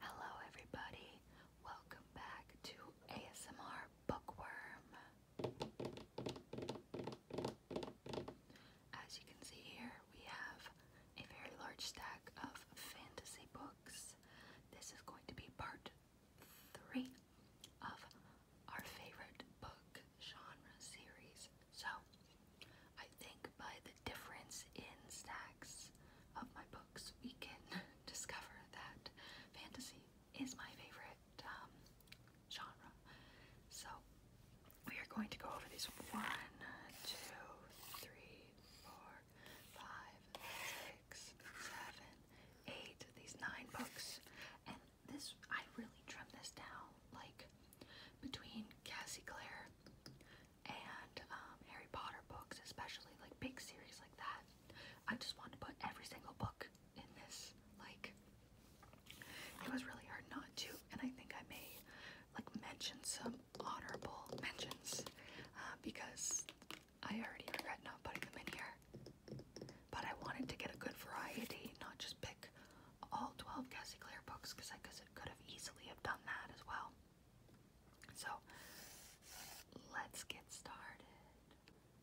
Hello, everybody. Welcome back to ASMR Bookworm. As you can see here, we have a very large stack of fantasy books. This is going to be part three of our favorite book genre series so, I think by the difference in stacks of my books, we can discover that fantasy is my favorite um, genre. So, we are going to go over these one, two, three, four, five, six, seven, eight, these nine books. And this, I really trimmed this down like between Cassie Clare and um, Harry Potter books, especially like big series like that. I just wanted to put every single book in this. Like, it was really hard not to, and I think I may like mention some honorable mentions uh, because I already regret not putting them in here. But I wanted to get a good variety, not just pick all 12 Cassie Clare books because I, cause could have easily have done that as well. So let's get started.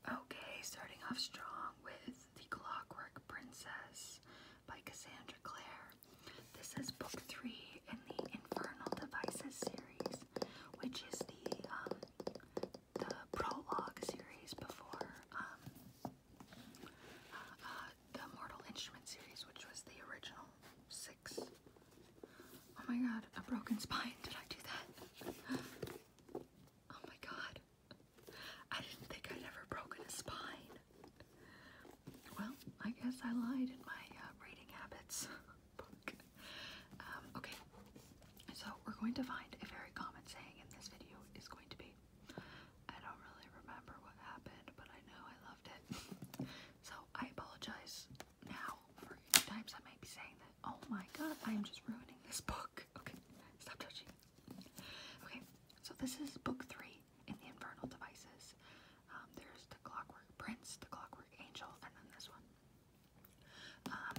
Okay, starting off strong with The Clockwork Princess by Cassandra Clare. This is book three in the Infernal Devices series, which is the um, the prologue series before um, uh, uh, the Mortal Instrument series, which was the original six. Oh my god, a broken spine. Did I do that? Oh my god. I didn't think I'd ever broken a spine. Well, I guess I lied in my uh, reading habits um, okay, so we're going to find a very common saying in this video is going to be I don't really remember what happened, but I know I loved it. so I apologize now for any times I might be saying that. Oh my god, I am just ruining this book. Okay, stop touching Okay, so this is book three in the Infernal Devices. Um, there's the Clockwork Prince, the Clockwork Angel, and then this one. Um,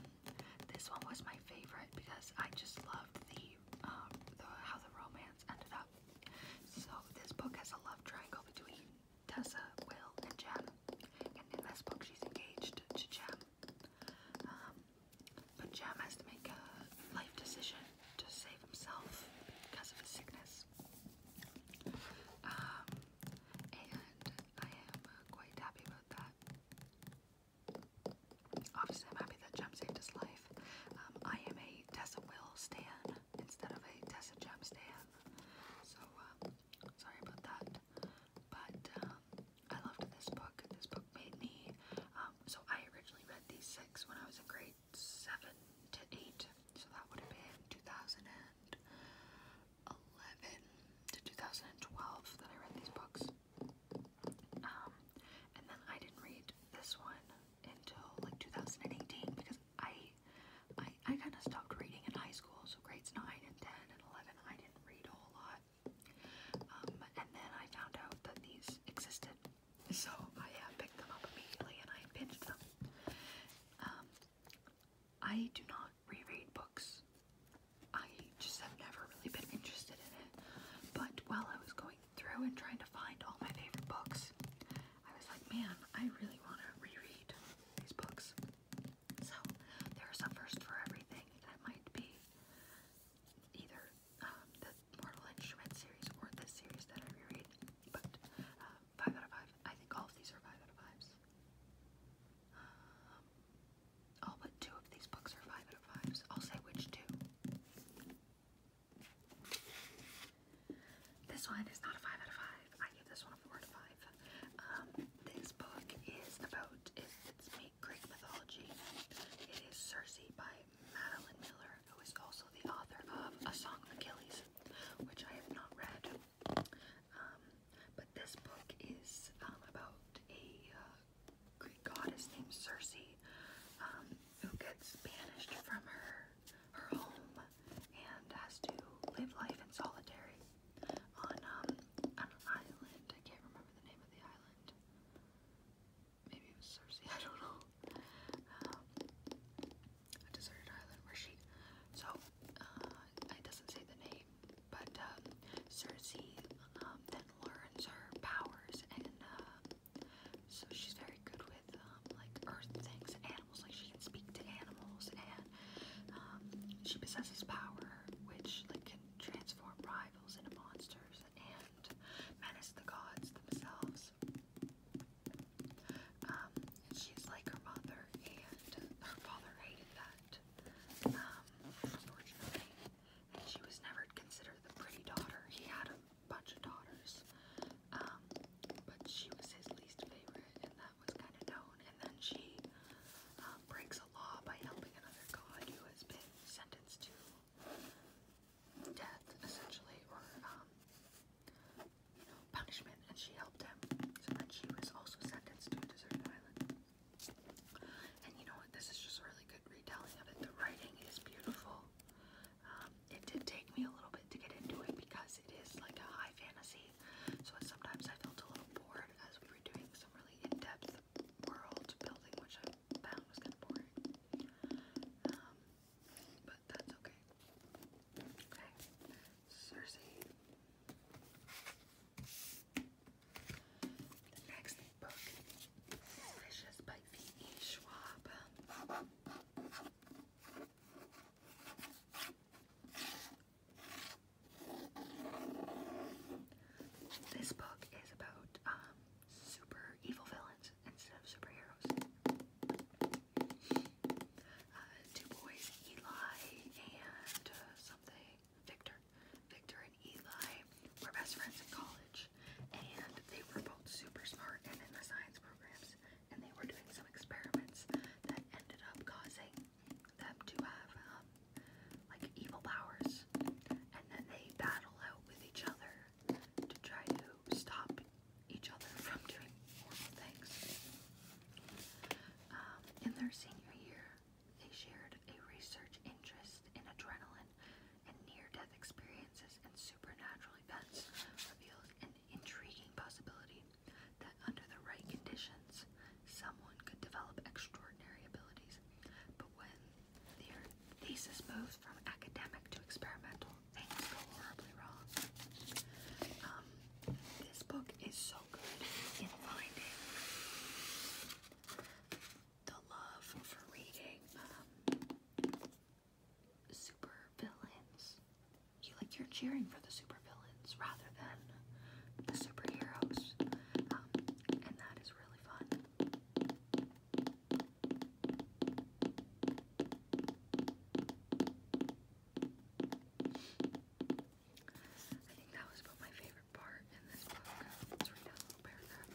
this one was my favorite because I just loved the um, how the romance ended up. So this book has a love triangle between Tessa, Will, and Jem. And in this book, she's engaged to Jem. Um, but Jem has to make a life decision to save himself because of his sickness. Um, and I am uh, quite happy about that. Obviously, I'm happy that Jem saved his life. Um, I am a Tessa Will stan instead of a Tessa Gem stan. So, um, sorry about that. But, um, I loved this book. This book made me, so I originally read these six when I was in grade seven to eight. So that would have been 2011 to 2012 that I read these books. and then I didn't read this one until like 2018 because I I, I kind of stopped reading in high school, so grades 9 and 10 and 11 I didn't read a whole lot. Um, and then I found out that these existed, so I uh, picked them up immediately and I binged them. Um, I do not reread books. I just have never really been interested in it. But while I was going through and trying to find all my favorite books, I was like, man, I really want to reread these books. So there's a first for everything that might be either um, the Mortal Instrument series or this series that I reread. But uh, five out of five. I think all of these are five out of fives. Um, all but two of these books are five out of fives. I'll say which two. This one is not a 5 out of 5. I give this one a 4 out of 5. Um, this book is about, it's, it's Greek mythology. It is Circe by Madeline Miller, who is also the author of A Song of Achilles, which I have not read. Um, but this book is um, about a uh, Greek goddess named Circe. Um, who gets banished from her her home and has to live life in solitary on um an island. I can't remember the name of the island. Maybe it was Cersei, I don't know. Um, a deserted island where she so uh, it doesn't say the name, but um, Cersei um, then learns her powers and uh, so she's very good with um, like earth things, animals. Like she can speak to animals, and um, she possesses power, which like can transform rivals into monsters and menace the gods themselves. Um, she's like her mother, and her father hated that, um, unfortunately. And she was never considered the pretty daughter. He had a bunch of daughters, um, but she was his least favorite, and that was kind of known. And then she um, breaks a law by helping another god who has been sentenced to death, essentially, or um, you know, punishment, and she helped him. So then she was also sentenced to a deserted island. And you know what? This is just a really good retelling of it. The writing is beautiful. Um, it did take me a little bit to get into it because it is like a high fantasy, so sometimes I felt a little bored as we were doing some really in-depth world building, which I found was kind of boring. Um, but that's okay. Okay, Cersei. The next book is by V.E. Schwab. This book is about um, super evil villains instead of superheroes. Uh, two boys, Eli and uh, something, Victor. Victor and Eli were best friends in college college, and they were both super smart and in the science programs, and they were doing some experiments that ended up causing them to have um, like evil powers, and then they battle out with each other to try to stop each other from doing horrible things. Um, in their senior year, they shared a research interest in adrenaline and near-death experiences and supernatural events reveals an intriguing possibility that under the right conditions, someone could develop extraordinary abilities. But when their thesis moves from academic to experimental, things go horribly wrong. Um, this book is so good in finding the love for reading. Um, super villains. You like you're cheering for the super villains rather than the superheroes, um, and that is really fun. I think that was about my favorite part in this book. Let's read a little paragraph.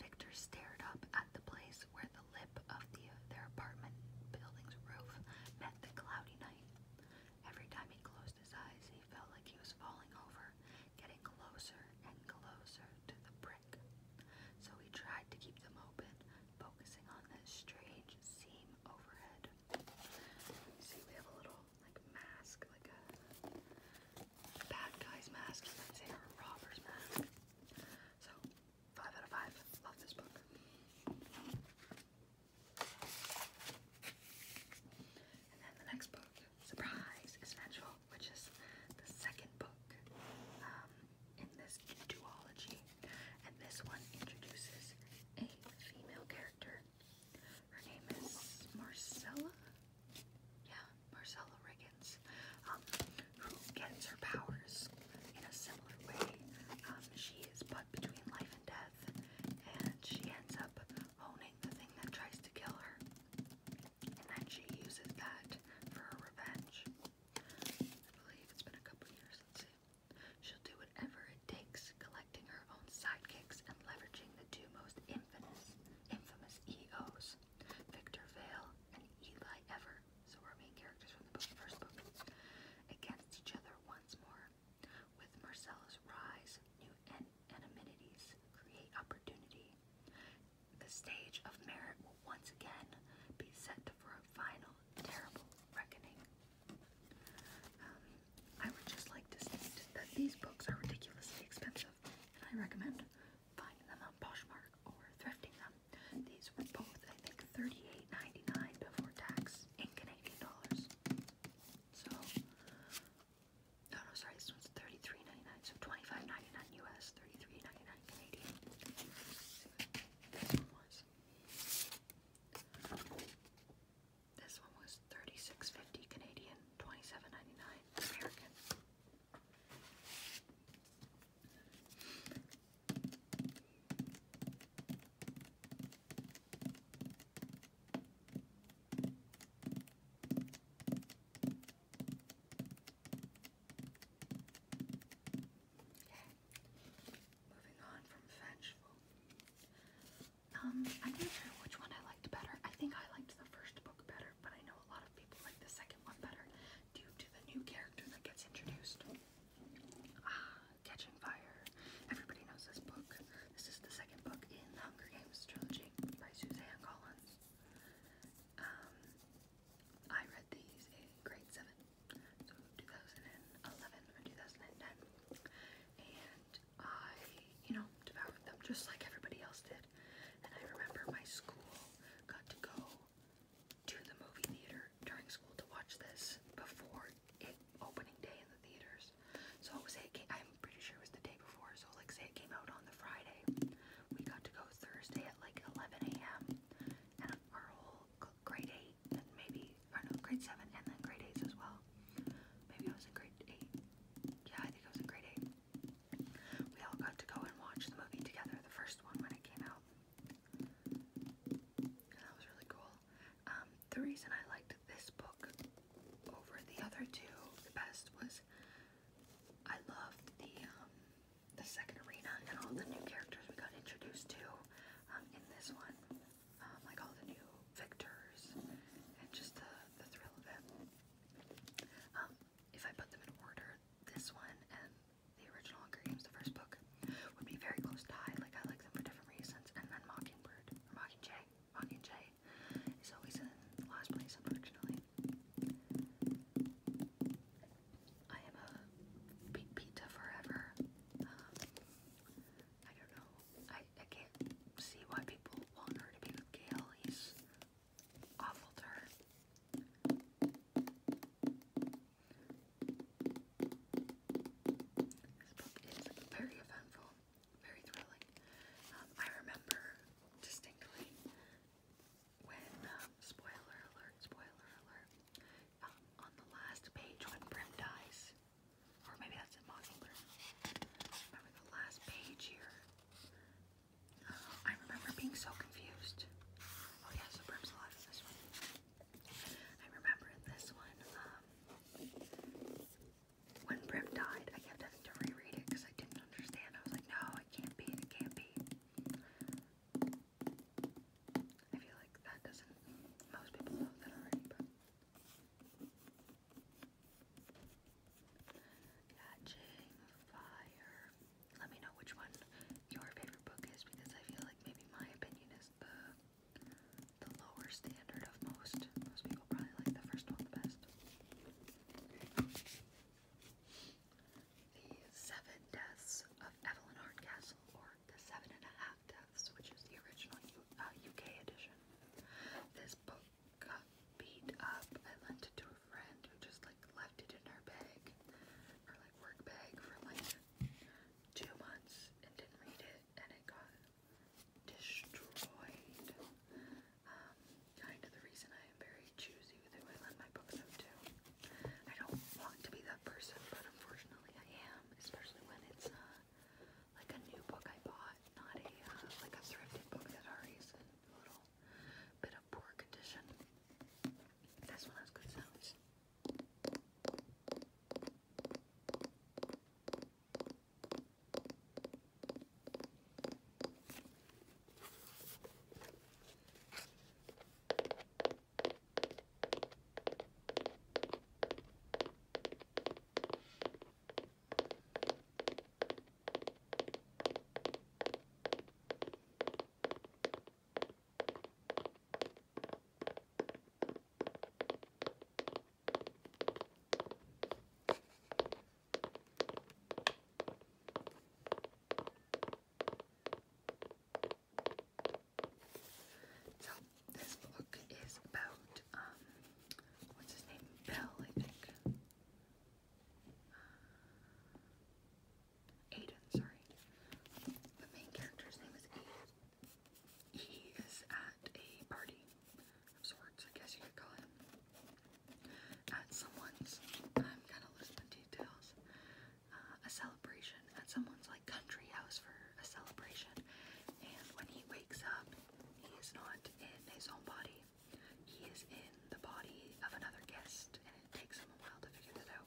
Victor stared up at the place where the lip of their apartment building's roof met the cloudy night. Every time he closed his eyes, he felt like he was falling over, getting closer and closer to the brick. So he tried to keep them open, focusing on that strange seam overhead. See, we have a little like mask, like a bad guy's mask, you a robber's mask. So Five out of five. Love this book. And then the next book, surprise, is which is the second book um, in this duology. And this one introduces a female character. Her name is Marcella. Yeah, Marcella Riggins, um, who gets her powers in a similar way. Um, she is put between life and death, and she ends up owning the thing that tries to kill her. And then she uses that for her revenge. I believe it's been a couple years, let's see. She'll do whatever it takes, collecting her own sidekicks and leveraging the two most infamous, infamous EOs, Victor Vale, and Eli Ever, so our main characters from the first book, against each other once more. With Marcella's rise, new en create opportunity. The stage of merit will once again be set for a final, terrible reckoning. Um, I would just like to state that these books are ridiculously expensive, and I recommend finding them on Poshmark or thrifting them. These were both, I think, 38 99 before tax in Canadian dollars. So, no, no, sorry, this one's 33 99 so 25 99 US, 33 99 Canadian. This one was. This one was 36 50 Canadian, 27 99 American. Moving on from vengeful. Um, I'm not sure which one I liked better. I think I liked the first book better, but I know a lot of people like the second one better due to the new character that gets introduced. Ah, Catching Fire. Everybody knows this book. This is the second book in the Hunger Games trilogy by Suzanne Collins. Um, I read these in grade 7, 2011 or 2010, and I, you know, devoured them just like everybody else did. And I remember my school got to go to the movie theater during school to watch this before it opening day in the theaters. So say it came, I'm pretty sure it was the day before. So like say it came out on the Friday, we got to go Thursday at like 11 a.m. and our whole grade eight and maybe or no grade seven and then grade eight as well. Maybe I was in grade eight. Yeah, I think I was in grade eight. We all got to go and watch the movie together, the first one when it came out. That was really cool. Um, the reason I liked this book over the other two the best was I loved the um, the second arena and all the new characters we got introduced to um, in this one, um, like all the new victors and just the, the thrill of it. Um, if I put them in order, this one and the original Hunger Games, the first book, would be very close to Like I like them for different reasons. And then Mockingbird, or Mockingjay, Mockingjay, is always in last place, unfortunately. I am a pizza forever. Um, I don't know. I I can't see why people want her to be with Gail. He's awful to her. This book is very eventful, very thrilling. Um, I remember distinctly when, um, spoiler alert, spoiler alert, um, on the last page when Brim dies, or maybe that's Mockingbird, remember the last page here, I remember being so confused. Oh yeah, so Brim's alive in this one. I remember this one, um, when Brim died, I kept having to reread it because I didn't understand. I was like, no, it can't be, it can't be. I feel like that doesn't, most people know that already, but. Catching fire let me know which one your favorite book is because I feel like maybe my opinion is the the lower standard of most. Most people probably like the first one the best. The Seven Deaths of Evelyn Hardcastle, or the Seven and a Half Deaths, which is the original UK uh, edition. This book beat up a friend who just like left it in her bag, her like work bag for like two months and didn't read it and it got destroyed. Um, kind of the reason I am very choosy with who I lend my books out to. I don't want to be that person, but unfortunately I am, especially when it's uh, like a new book I bought, not a uh, like a thrifted book that already is in a little bit of poor condition. That's one of those good sounds. So this book is about um what's his name? Bell, I think. Aiden, sorry. The main character's name is Aiden. He is at a party of sorts, I guess you could call it. At someone's, I'm gonna lose the details. Uh, a celebration at someone's like country house for a celebration, and when he wakes up, he is not in his own body. He is in the body of another guest, and it takes him a while to figure that out.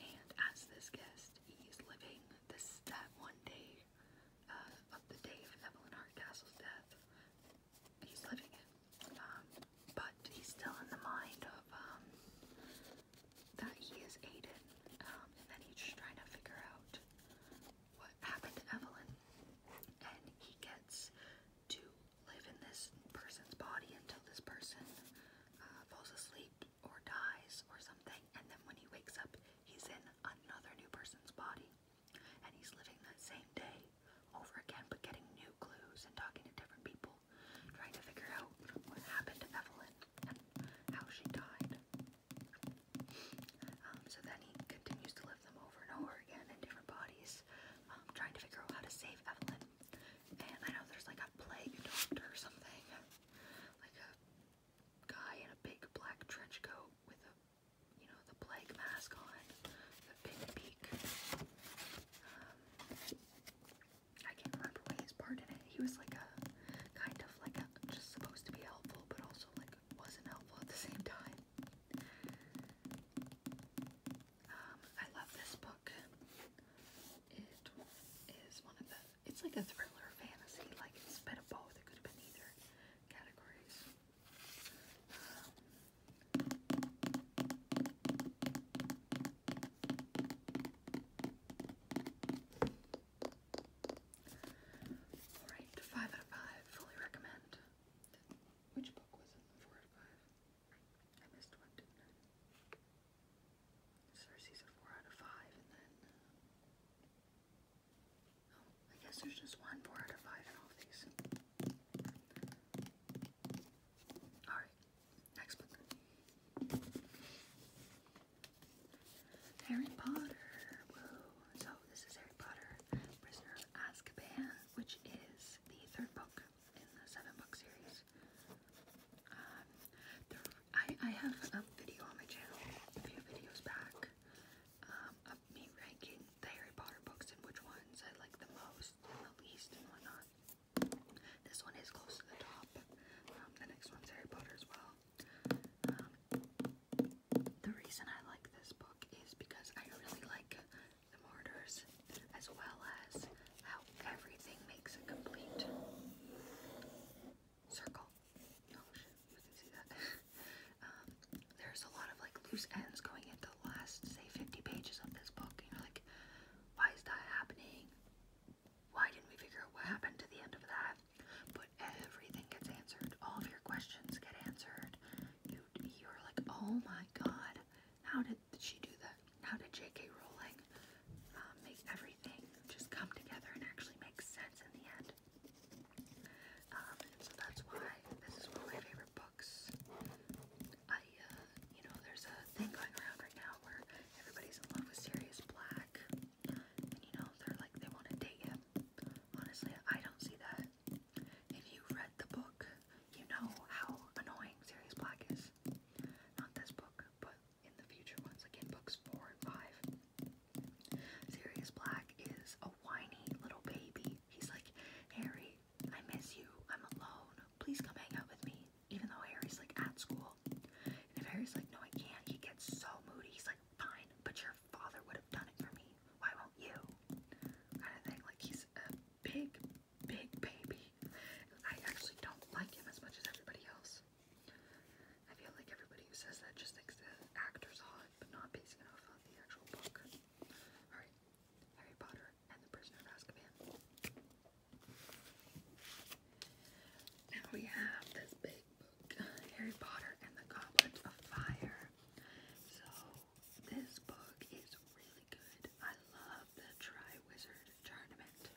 And as this guest, he's living this that one day uh, of the day of Evelyn Hardcastle's death. He's living it, um, but he's still in the mind of um, that he is Aiden, um, and then he's just trying to figure out what happened to Evelyn. And he gets to live in this person's body until this person uh, falls asleep or dies or something, and then when he wakes up, he's in another new person's body. And he's living that same day over again, but getting new clues and talking to different people, trying to figure out what happened to Evelyn and how she died. Um, so then he continues to live them over and over again in different bodies, um, trying to figure out how to save Evelyn. And I know there's like a plague doctor or something. Like a guy in a big black trench coat with a, you know, the plague mask on. The big beak. Um, I can't remember his part in He was like a, kind of like a, just supposed to be helpful, but also like wasn't helpful at the same time. Um, I love this book. It is one of the, it's like a thriller fantasy, like it's a bit of both. It could have been either categories. Um, Alright, 5 out of 5. Fully recommend. Which book was it? 4 out 5? Cersei's a 4 out of 5, and then. Oh, I guess there's just one 4 out of 5 in all these. Alright, next book Harry Potter. So, this is Harry Potter Prisoner of Azkaban, which is the third book in the seven book series. I, I have a video on my channel a few videos back um, of ranking the Harry Potter books and which ones I like the most and the least and whatnot. This one is close to the top. Um, the next one's Harry Potter as well. Um, the reason I like this book is because I really like the mortars, as well as how everything makes a complete circle. Um, there's a lot of like loose ends going into the last, say, 50 pages of this book. you're like, why is that happening? Why didn't we figure out what happened to the end of that? But everything gets answered. All of your questions get answered. You, you're like, oh my god, how did she do that? How did J.K. Rowling uh, make everything just come together and actually make sense in the end? Um, so that's why this is one of my favorite books. I, uh, you know, there's a thing going around right now where everybody's in love with Sirius Black, and you know, they're like they want to date him. Honestly, I don't see that. If you read the book, you know how annoying Sirius Black is. Not this book, but in the future ones, like books four and five. Sirius Black is a whiny little baby. He's like, Harry, I miss you. I'm alone. Please come hang out with me. Even though Harry's like at school. And if Harry's like, no, I can't, he gets so moody. He's like, fine, but your father would have done it for me. Why won't you? Kind of thing. Like, he's a big big baby. I actually don't like him as much as everybody else. I feel like everybody who says that just thinks the actor's hot, but not basing it off the actual book. Alright, Harry Potter and the Prisoner of Azkaban. Now we have this big book, Harry Potter and the Goblet of Fire. So, this book is really good. I love the Tri-Wizard Tournament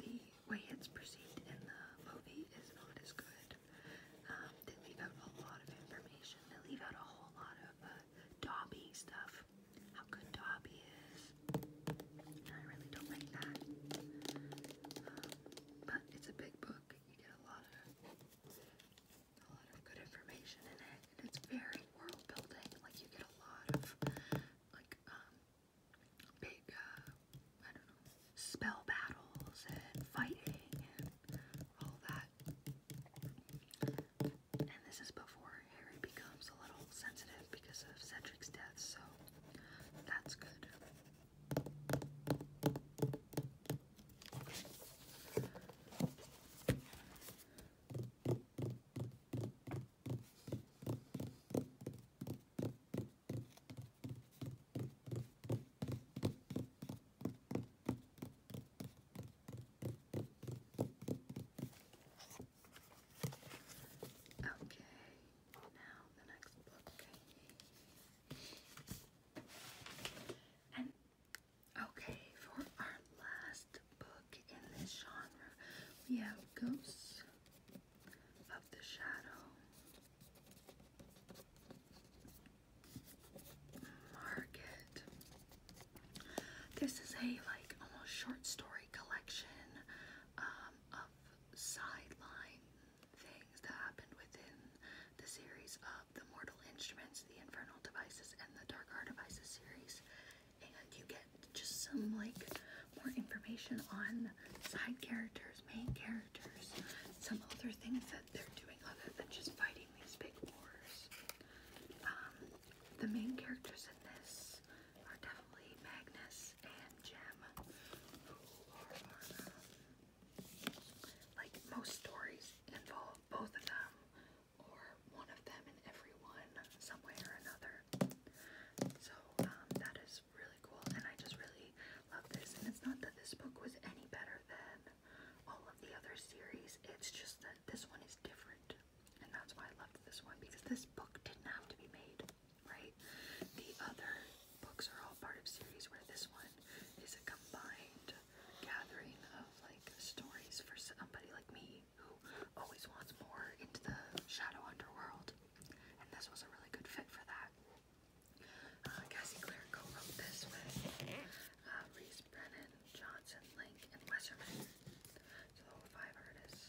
the way it's perceived in the movie is not as good. Um, they leave out a lot of information. They leave out a whole lot of uh, Dobby stuff. How good Dobby is. I really don't like that. Um, but it's a big book. You get a lot of a lot of good information in it, and it's very world building. Like you get a lot of like um, big uh, I don't know spell battles and fighting and all that. And this is before Harry becomes a little sensitive because of Cedric's death, so that's good. Okay, now the next book. And Okay, for our last book in this genre, we have Ghosts of the Shadow. Market. This is a like almost short story collection um, of sideline things that happened within the series of the Mortal Instruments, the Infernal Devices, and the Dark Art Devices series and you get just some like more information on side characters, main characters, some other things that they're doing other than just fighting these big wars. Um, the main characters in this are definitely Magnus and Jem, um, like most stories involve both of them or one of them in everyone, some way or another. So um, that is really cool, and I just really love this. And it's not that this book was any better than all of the other series, it's just that this one is different. And that's why I loved this one because this book didn't have to be made, right? The other books are all part of series where this one is a combined gathering of like stories for somebody like me Harry, who always wants more into the shadow underworld, and this was a really good fit for that. Uh, Cassie Clare co-wrote this with uh, Reese Brennan, Johnson, Link, and Westerman. So five artists.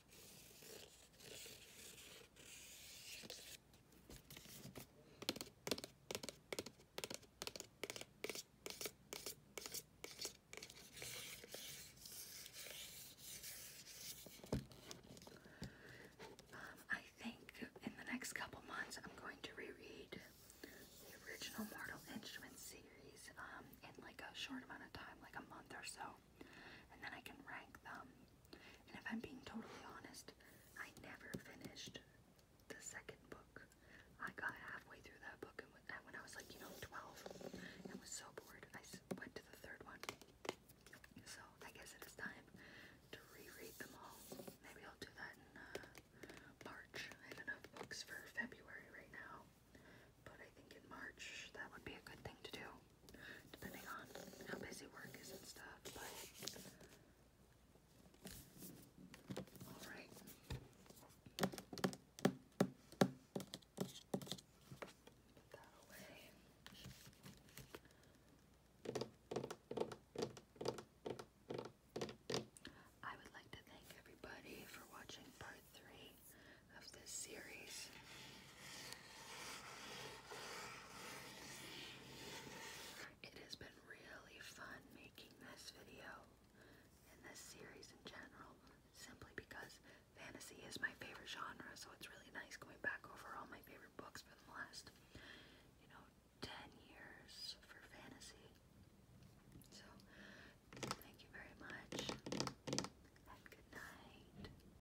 Um, I think in the next couple months I'm going to reread the original Mortal Instruments series um, in like a short amount of time, like a month or so and then I can rank them. And if I'm being totally honest, I never finished the second book. I got halfway through that book and when I was like, you know, 12 and was so bored, I went to the third one. So I guess it is time to reread them all. Maybe I'll do that in uh, March. I have enough books for February right now, but I think in March that would be a good thing to do depending on how busy work is and stuff, but alright. Put that away. I would like to thank everybody for watching part three of this series. It has been really fun making this video and this series in general simply because fantasy is my favorite genre, so it's really nice going back over all my favorite books for the last, you know, 10 years for fantasy. So, thank you very much and good night.